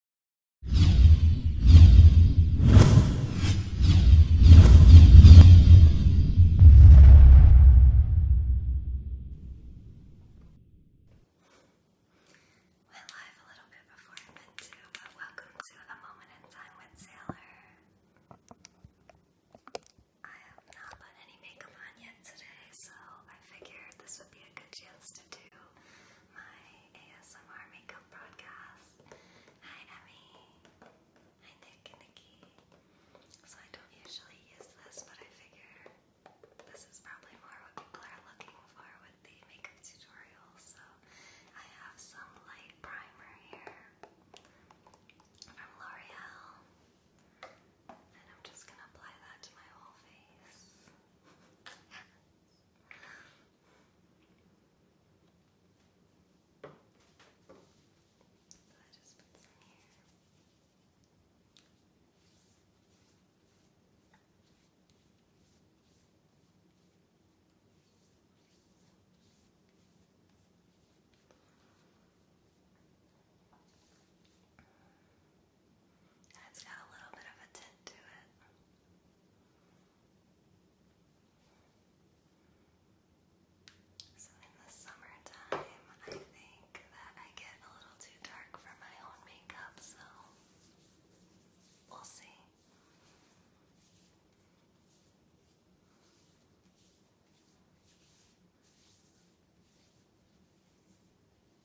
Went live a little bit before I meant to, but welcome to the moment in time with Sailor. I have not put any makeup on yet today, so I figured this would be a good chance to do my ASMR makeup broadcast. Hi Emmy. Hi Nick and Nikki. So I don't usually use this, but I figure this is probably more what people are looking for with the makeup tutorials. So I have some light primer here from L'Oreal. And I'm just gonna apply that to my whole face. I just put some here. It's got a little bit of a tint to it. So, in the summertime, I think that I get a little too dark for my own makeup, so we'll see.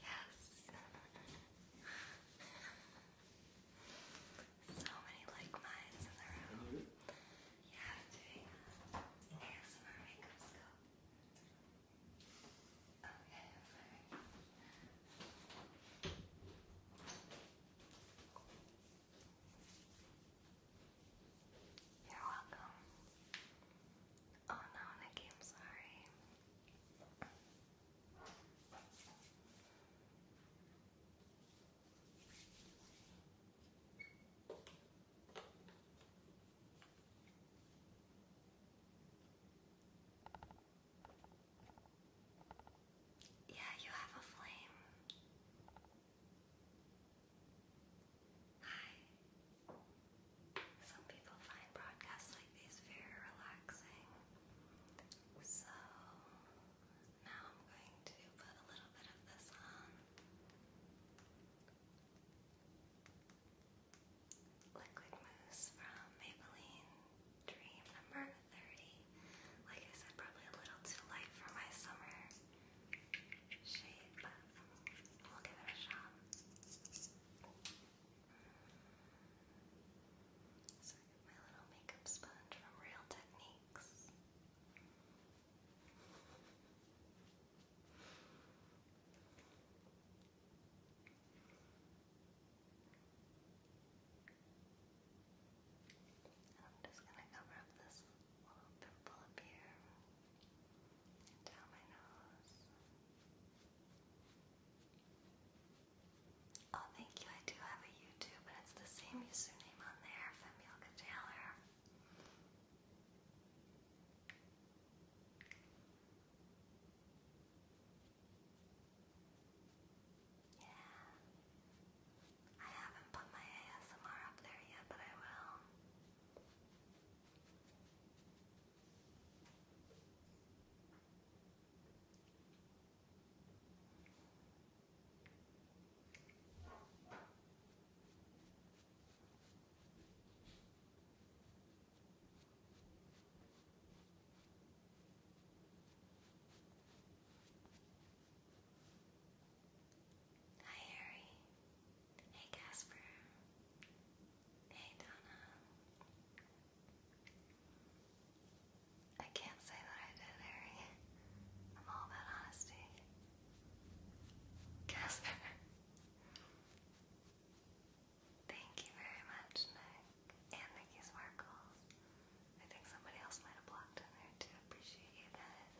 yes. so many like minds in the room. Yeah, doing uh, ASMR makeup scope. Okay, sorry. Okay. You're welcome. Oh no, Nikki, I'm sorry. Yeah, you have a flame. Hi. Some people find broadcasts like these very relaxing. So now I'm going to put a little bit of this on. Liquid mousse from Maybelline Dream number 30. Like I said, probably a little too light for my summer shade, we'll my little makeup sponge from Real Techniques. I'm just going to cover up this Oh, thank you. I do have a YouTube, and it's the same username on there, Femilka Taylor. Yeah. I haven't put my ASMR up there yet, but I will. Hi, Harry. Hey Casper. Hey Donna. I can't say that I did, Harry. I'm all about honesty. Casper. Thank you very much, Nick. And Nikki Sparkles. I think somebody else might have blocked in there too. Appreciate you guys.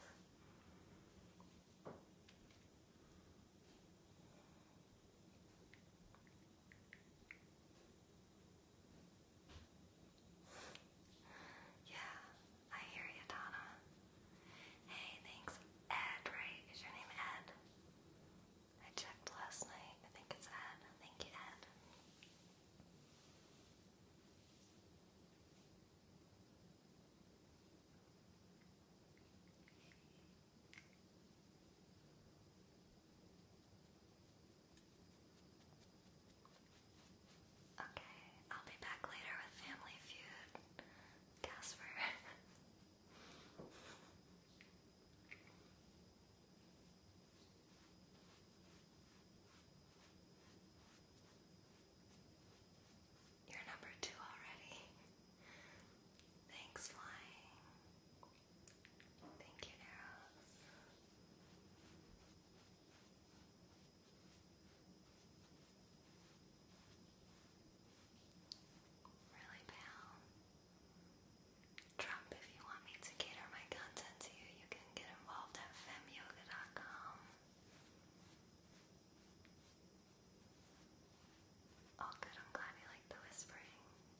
Yeah, I hear you, Donna. Hey, thanks. Ed, right? Is your name Ed? I checked last night. I think it's Ed. Thank you, Ed. Okay, I'll be back later with Family Feud, Casper. You're number two already. Thanks, flying. Thank you, Arrows. Really pale. Trump, if you want me to cater my content to you, you can get involved at femyoga.com. Oh, good. I'm glad you like the whispering.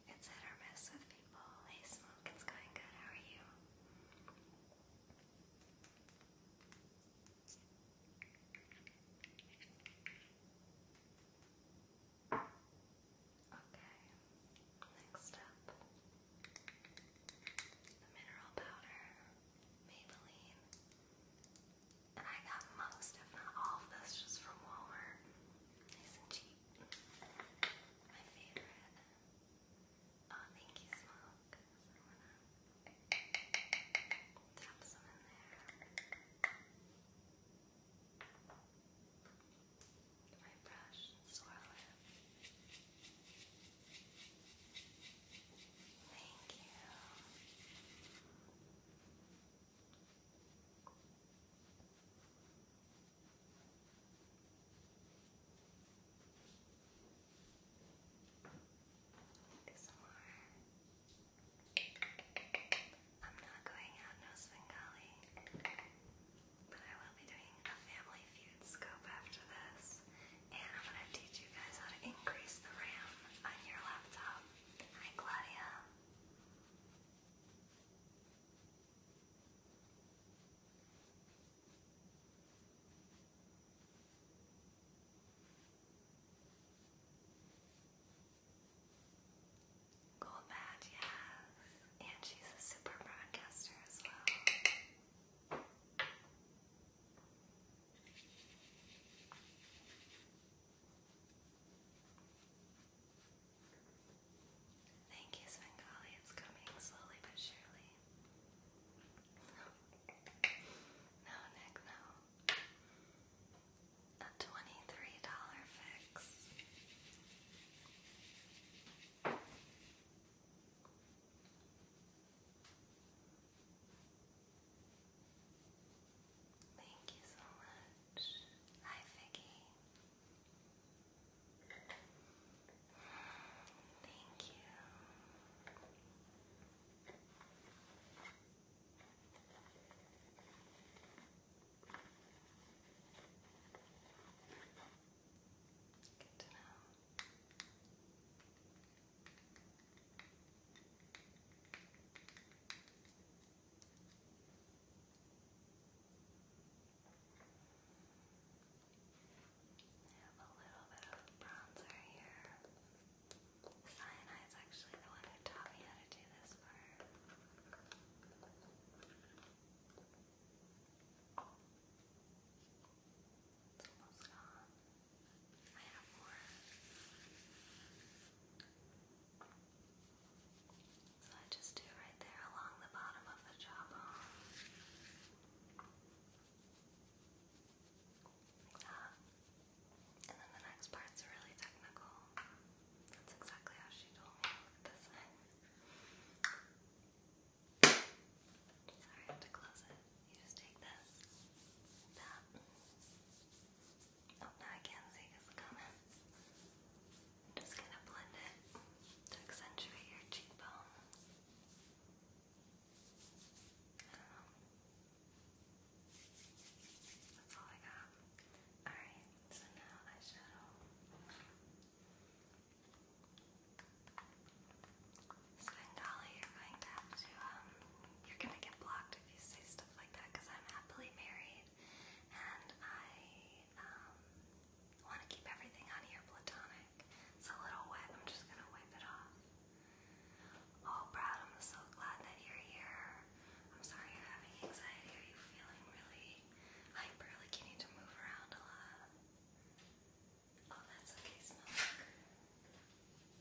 It's hit or miss with people. Hey, Smoke, it's going good. How are you? Okay, next up the mineral powder, Maybelline I got most, if all of this just from Walmart. Nice and cheap. My favorite. Oh, thank you, Smoke. So some in there. My brush swirl it. Thank you. ASMR. I'm not going out no Svengali, but I will be doing a Family Feud scope after this, and I'm going to teach you guys how to increase the RAM on your laptop. Hi, Claudia. Gold badge, yes. And she's a super broadcaster as well. Thank you, Svengali. It's coming slowly but surely. No, Nick, no. A twenty-three dollar fix. Thank you so much. Hi, Vicky. Thank you. Good to know have a little bit of bronzer here. Cyanide is actually the one who taught me how to do this part. It's almost gone. I So I just do right there along the bottom of the jawbone. And then the next part's really technical. That's exactly how she told me. this thing. Sorry, to close it. You just take this, that, Oh, now I can see this comment. I'm just gonna blend it to accentuate your cheekbone. I don't know. That's all I got. Alright, so now eyeshadow. Swindali, you're going to have to um, you're gonna get blocked if you say stuff like that I'm happily married and I um, want to keep everything on here platonic. It's a little wet, I'm just gonna wipe it off. Oh, Brad, I'm so glad that you're here. I'm sorry you're having anxiety. Are you feeling really hyper? Like you need to move around a lot? Oh, that's okay,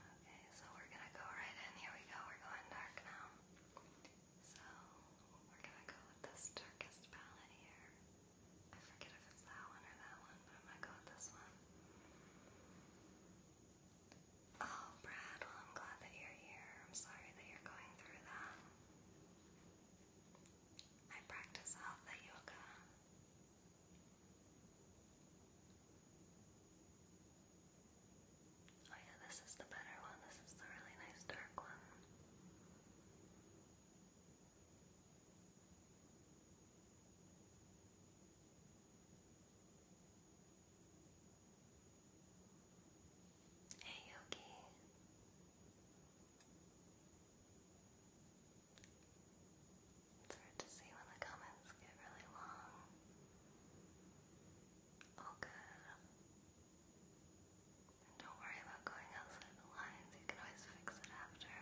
Okay, so we're gonna go right in. Here we go, we're going dark now. So we're gonna go with this darkest palette here. I forget if it's that one or that one, but I'm gonna go with this one. Oh, Brad, well, I'm glad that you're here. I'm sorry that you're going through that. I practice health yoga Oh yeah, this is the better one. This is the really nice dark one. Hey Yogi. It's hard to see when the comments get really long. All good. And don't worry about going outside the lines, you can always fix it after.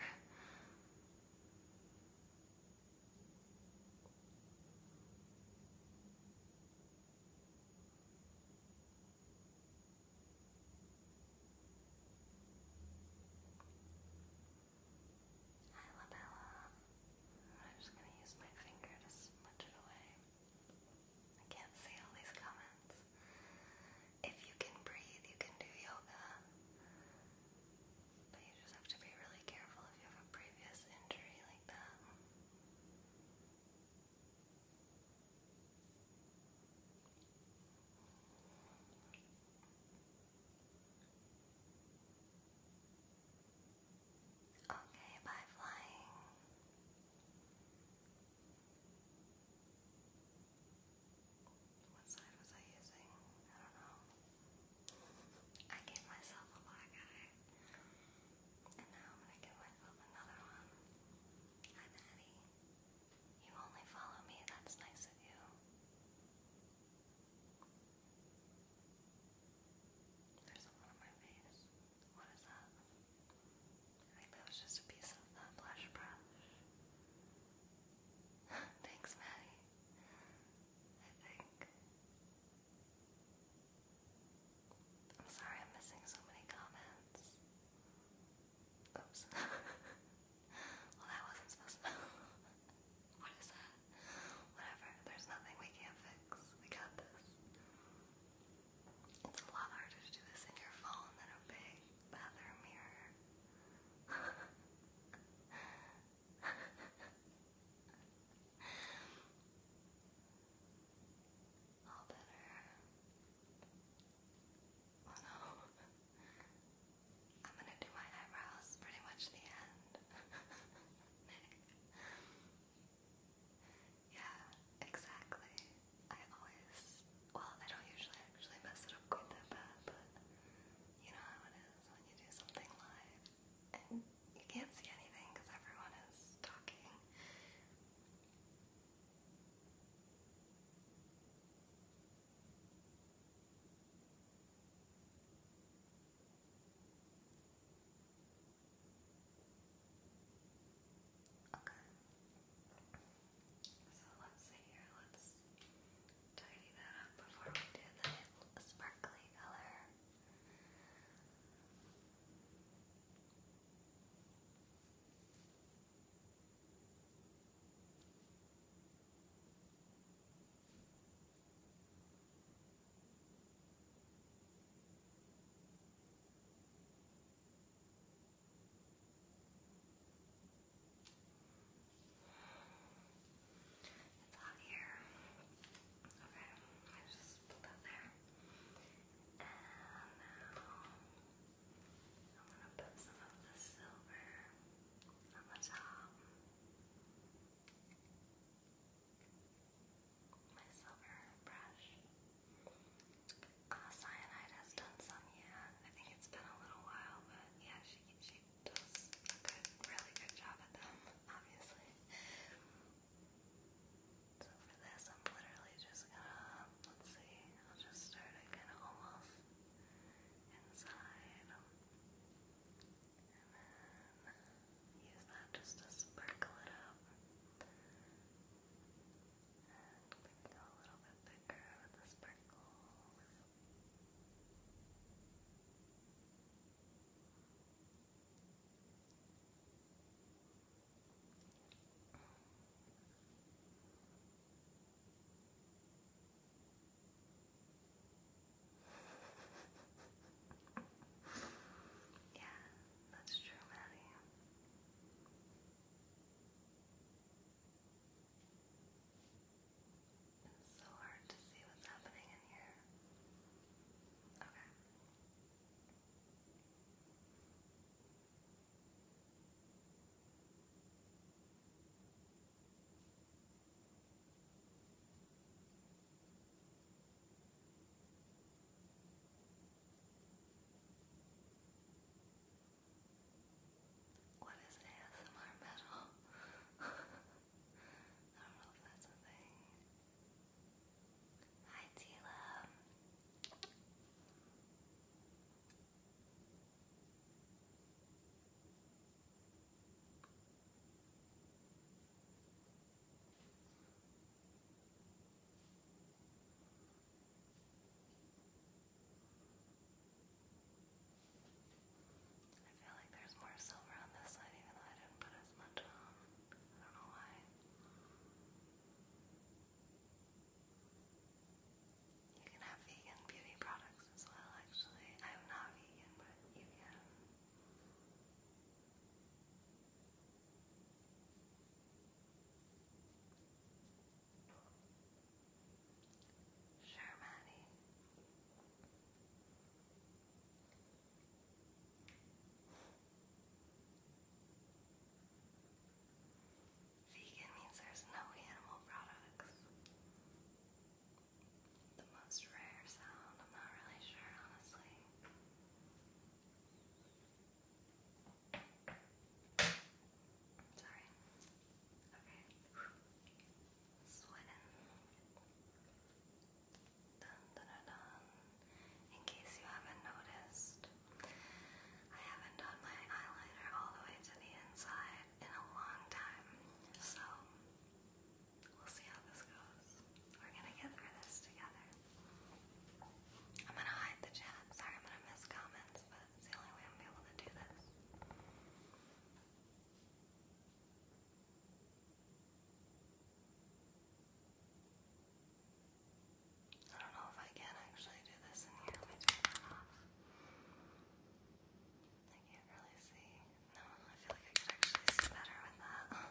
Hi, Labella. I'm just gonna use my finger to smudge it away. I can't see all these comments. If you can breathe, you can do yoga. But you just have to be really careful if you have a previous injury like that. Okay, by flying. What side was I using? I don't know. I gave myself a black eye. And now I'm gonna give myself another one. Hi, Maddie. You only follow me, that's nice of you. There's a on my face. What is that? I think that was just a piece of the blush brush. Thanks, Maddie. I think. I'm sorry I'm missing so many comments. Oops. Well, that wasn't supposed to. what is that? Whatever. There's nothing we can't fix. We got this. It's a lot harder to do this in your phone than a big bathroom mirror. All better. Oh no. I'm gonna do my eyebrows pretty much the end. yeah, exactly. I always, well, I don't usually actually mess it up quite that bad, but you know how it is when you do something live and you can't see anything because everyone is talking. Okay. So let's see here, let's tidy that up before we do the sparkly color. Okay. It's on here. Okay, I just put that there. And now I'm gonna put some of the silver on the top my silver brush. Uh, Cyanide has done some, yeah. I think it's been a little while, but yeah, she she does a good, really good job at them, obviously. So for this, I'm literally just gonna let's see. I'll just start it kind of almost inside then use that just to sparkle it up. And we can go a little bit thicker with the sparkle. Good. Yeah, that's true, Maddie. It's so hard to see what's happening in here. Okay. What is ASMR metal? I don't know if that's a thing. Hi, Tila. I feel like there's more silver on this side, even though I didn't put as much on. I don't know why. You can have vegan beauty products eggs as well, actually. I'm not vegan, but you can. Sure, Maddie. Vegan means there's no animal products the most rare sound. I'm not really sure, honestly. Sorry. Okay. Sweating. Dun, dun, dun, dun. In case you haven't noticed, I haven't done my eyeliner all the way to the inside in a long time. So We'll see how this goes. We're gonna get through this together. I'm gonna hide the chat. Sorry, I'm gonna miss comments, but it's the only way I'm gonna be able to do this. I don't know if I can actually do this in here. Let me turn that off. I can't really see. No, I feel like I could actually see better with that. Okay,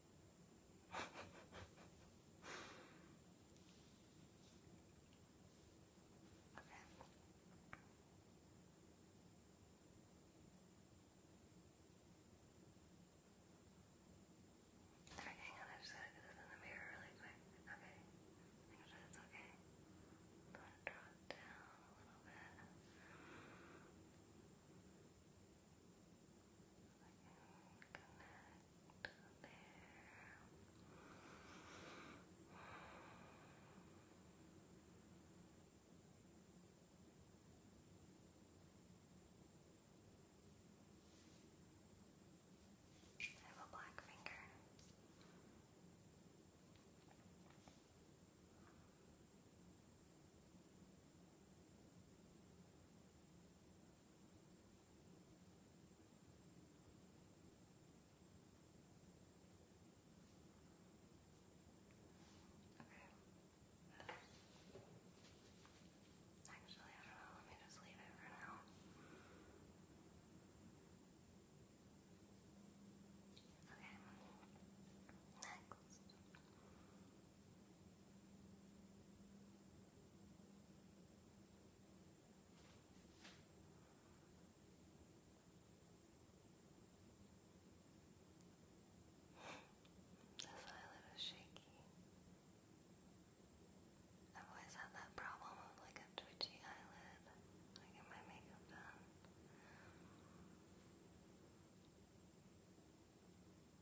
Okay, hang on, I just gotta do this in the mirror really quick. Okay. Make sure it's okay. I'm gonna draw it down a little bit. Okay. I have a black finger. Good. Actually, I don't know. Let me just leave it for now. Okay. Next. This eyelid is shaky. I've always had that problem of like a twitchy eyelid, like in my makeup done.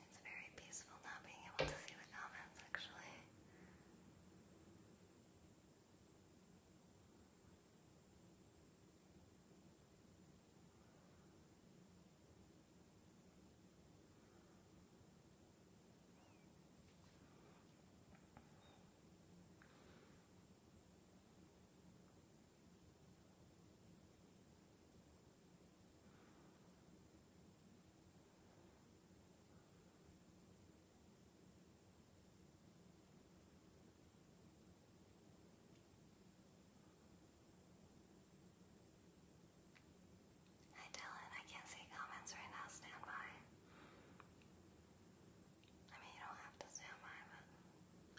It's very peaceful not being able to see the comments, actually. Hi Dylan, I can't see comments right now. Stand I mean, you don't have to stand but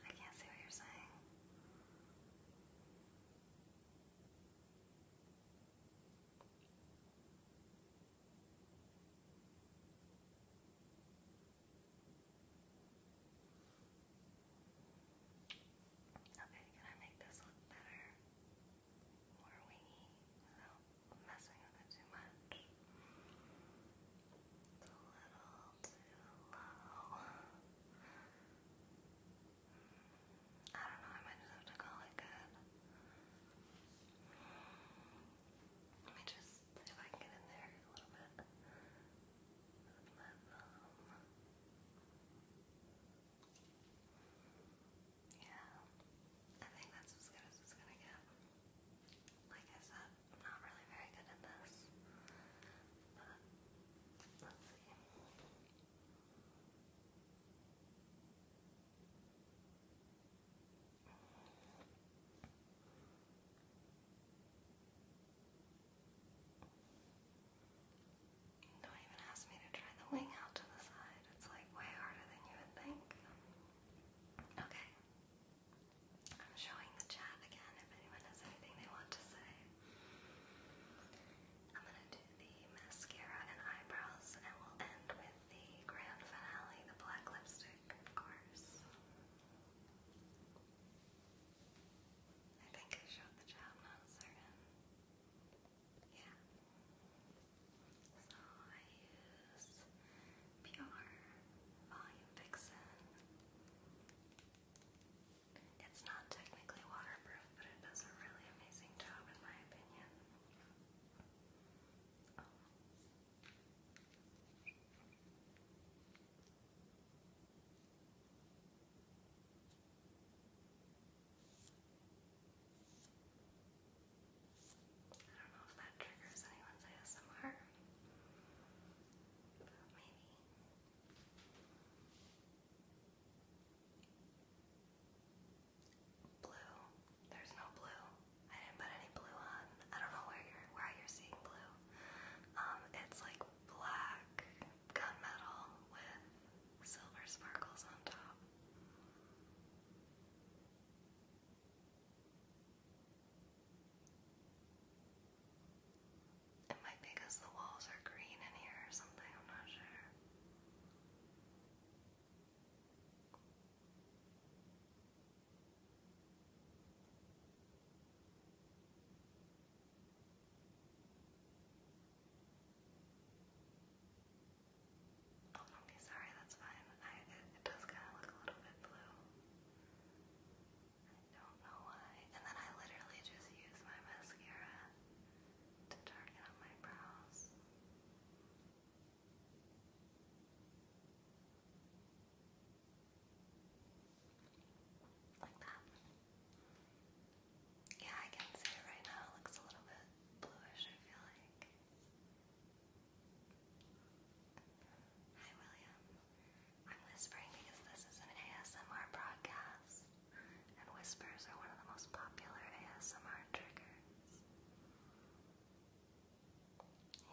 I can't see what you're saying. Okay, can I make this look better? More wingy without messing with it too much. It's a little too low. I don't know, I might just have to call it good. Let me just see if I can get in there a little bit um, Yeah, I think that's as good as it's gonna get. Like I said, I'm not really very good at this, but let's see. Don't even ask me to try the wing out to the side. It's like way harder than you would think. Okay. I'm showing the chat again if anyone has anything they want to say. I'm going to do the mascara and eyebrows, and we'll end with the grand finale, the black lipstick, of course. I think I showed the job, not certain. Yeah. So I use Pure Volume Vixen. It's not technically waterproof but it does a really amazing job, in my opinion. I don't know if that triggers anyone's ASMR, but maybe. Blue. There's no blue. I didn't put any blue on. I don't know where you're why you're seeing blue. Um, it's like black gunmetal with silver sparkles on top. It might because the walls are green in here or something, I'm not sure. Oh, monkey, sorry, that's fine. it, does kind of look a little bit blue. I don't know why. And then I literally just use my mascara to darken up my brows. Like that. Yeah, I can see it right now. It looks a little bit bluish, I feel like. Hi, William. I'm whispering because this is an ASMR broadcast and whispers are one of the most popular ASMR triggers.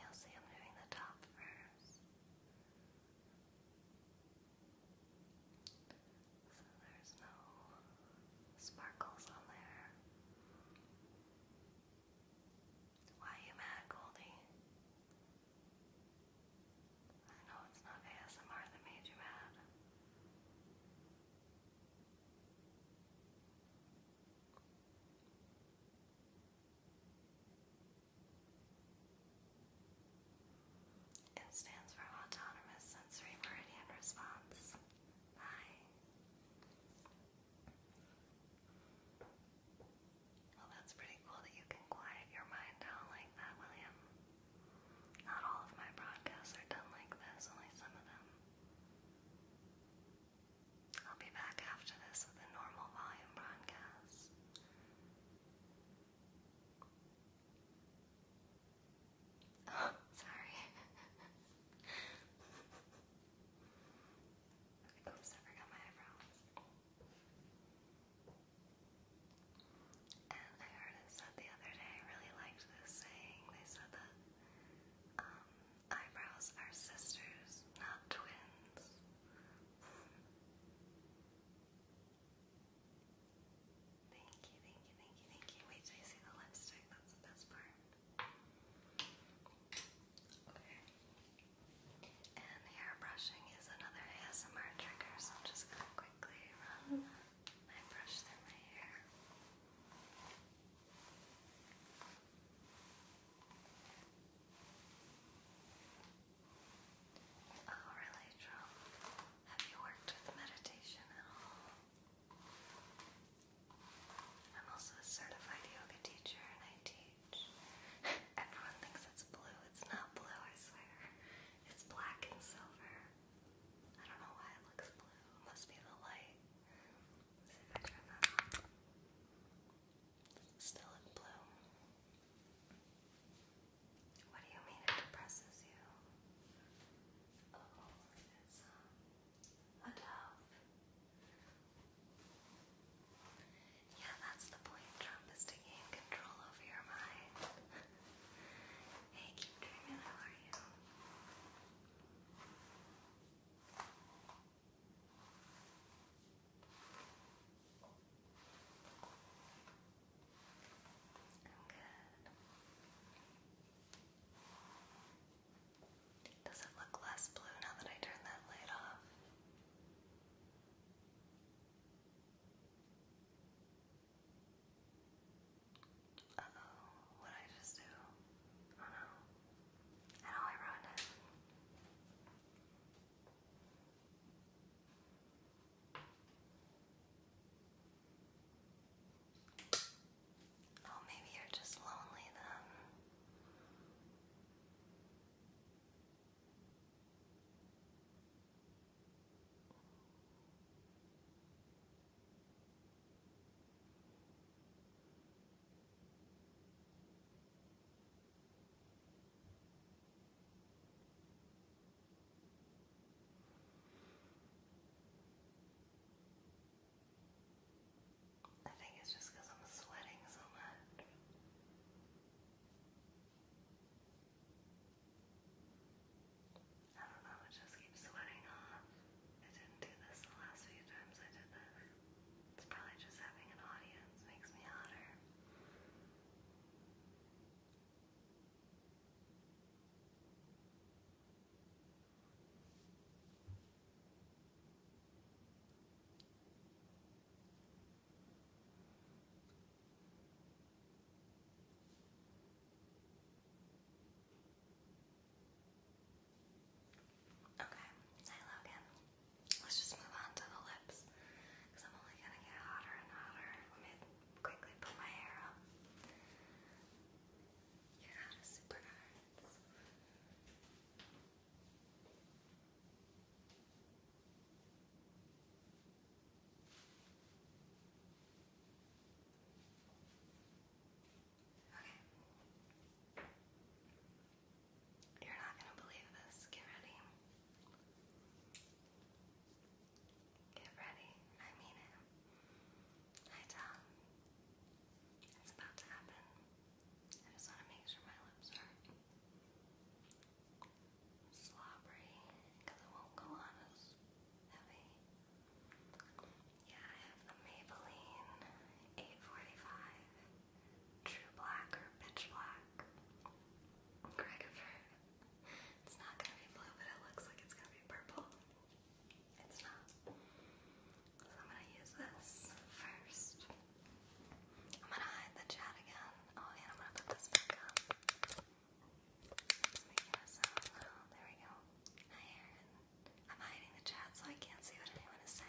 You'll see i doing the top first. So there's no sparkles on there. Why are you mad, Goldie? I know it's not ASMR that made you mad. It stands for Autonomous Sensory Meridian Response. Hi. Well, that's pretty cool that you can quiet your mind down like that, William. Not all of my broadcasts are done like this, only some of them. I'll be back after this with a normal volume broadcast. Oh, sorry. Oops, I forgot my eyebrows. And I heard it said the other day, I really liked this saying. They said that um, eyebrows are sisters, not twins. Thank you, thank you, thank you, thank you. Wait till you see the lipstick, that's the best part. Okay. And hair brushing is another ASMR trigger, so I'm just gonna quickly run that. I brush my hair. Oh, really, Trump? Have you worked with meditation at all? I'm also a certified yoga teacher and I teach. Everyone thinks it's blue. It's not blue, I swear. It's black and silver. I don't know why it looks blue. must be the light. Still in blue. What do you mean it depresses you? Oh, it's uh, a dove. Yeah, that's the point, Trump, is to control over your mind. Hey, keep dreaming. How are you? I'm good. Does it look less blue now that I turned that light off? Uh oh, what did I just do? Oh no. I know I ruined it. Oh, maybe you're just lonely then. I think it's just because I'm sweating so much. I don't know, it just keeps sweating off. I didn't do this the last few times I did this. It's probably just having an audience makes me hotter. Okay, hey Logan. Let's just move on to the lips. I'm only gonna get hotter and hotter. Let me quickly put my hair up. You got a super nice. Okay. You're not going to believe this. Get ready. Get ready. I mean it. Hi, Tom. It's about to happen. I just want to make sure my lips are slobbery because it won't go on as heavy. Yeah, I have the Maybelline 845 True Black or Pitch Black. Gregover. It's not gonna be blue, but it looks like it's gonna be purple. It's not. So I'm gonna use this first. I'm gonna hide the chat again. Oh yeah, I'm gonna put this back up. There we go. Hi, Aaron. I'm hiding the chat so I can't see what anyone is saying.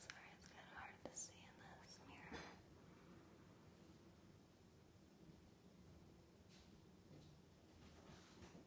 Sorry, it's kind of hard to see in this mirror. Okay.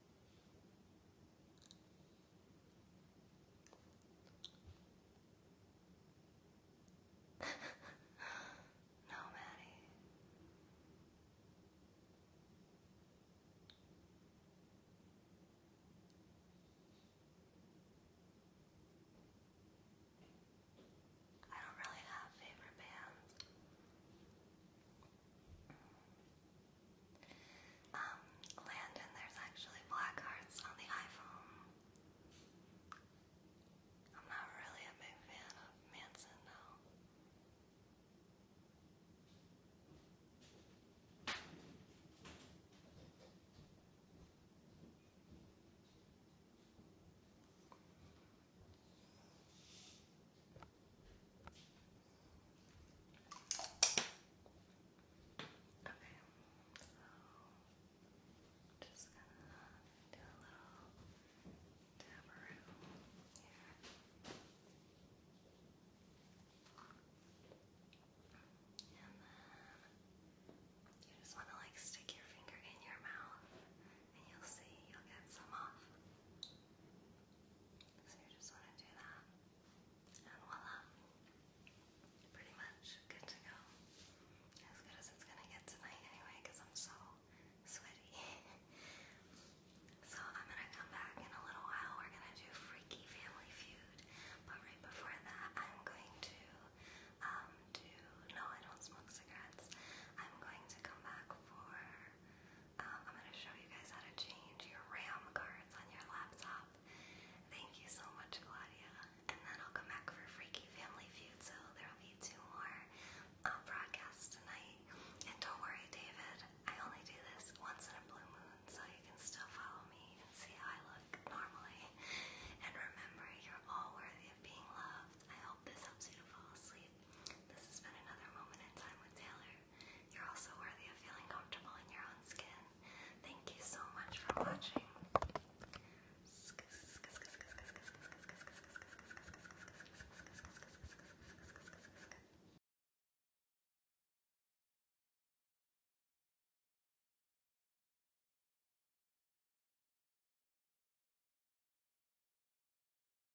no, Maddie. I don't really have favorite bands. Um, Landon, there's actually black hearts on the iPhone. I'm not really a big fan of Manson, though. Okay, so just gonna do a little dab here. And then you just want to like stick your finger in your mouth and you'll see you'll get some off. Okay. So you just want to do that, and voila, pretty much good to go. As good as it's gonna get tonight, anyway, I'm so sweaty. so I'm gonna come back in a little while. We're gonna do Freaky Family Feud, but right before that, I'm going to um, do no, I don't smoke cigarettes. I'm going to come back for um, I'm going to show you guys how to change your RAM cards on your laptop. Thank you so much, Claudia. And then I'll come back for Freaky Family Feud, so there will be two more um, broadcasts tonight. And don't worry, David, I only do this once in a blue moon, so you can still follow me and see how I look normally. And remember, you're all worthy of being loved. I hope this helps you to fall asleep. This has been another moment in time with Taylor. You're also worthy of feeling comfortable in your own skin. Thank you so much for watching.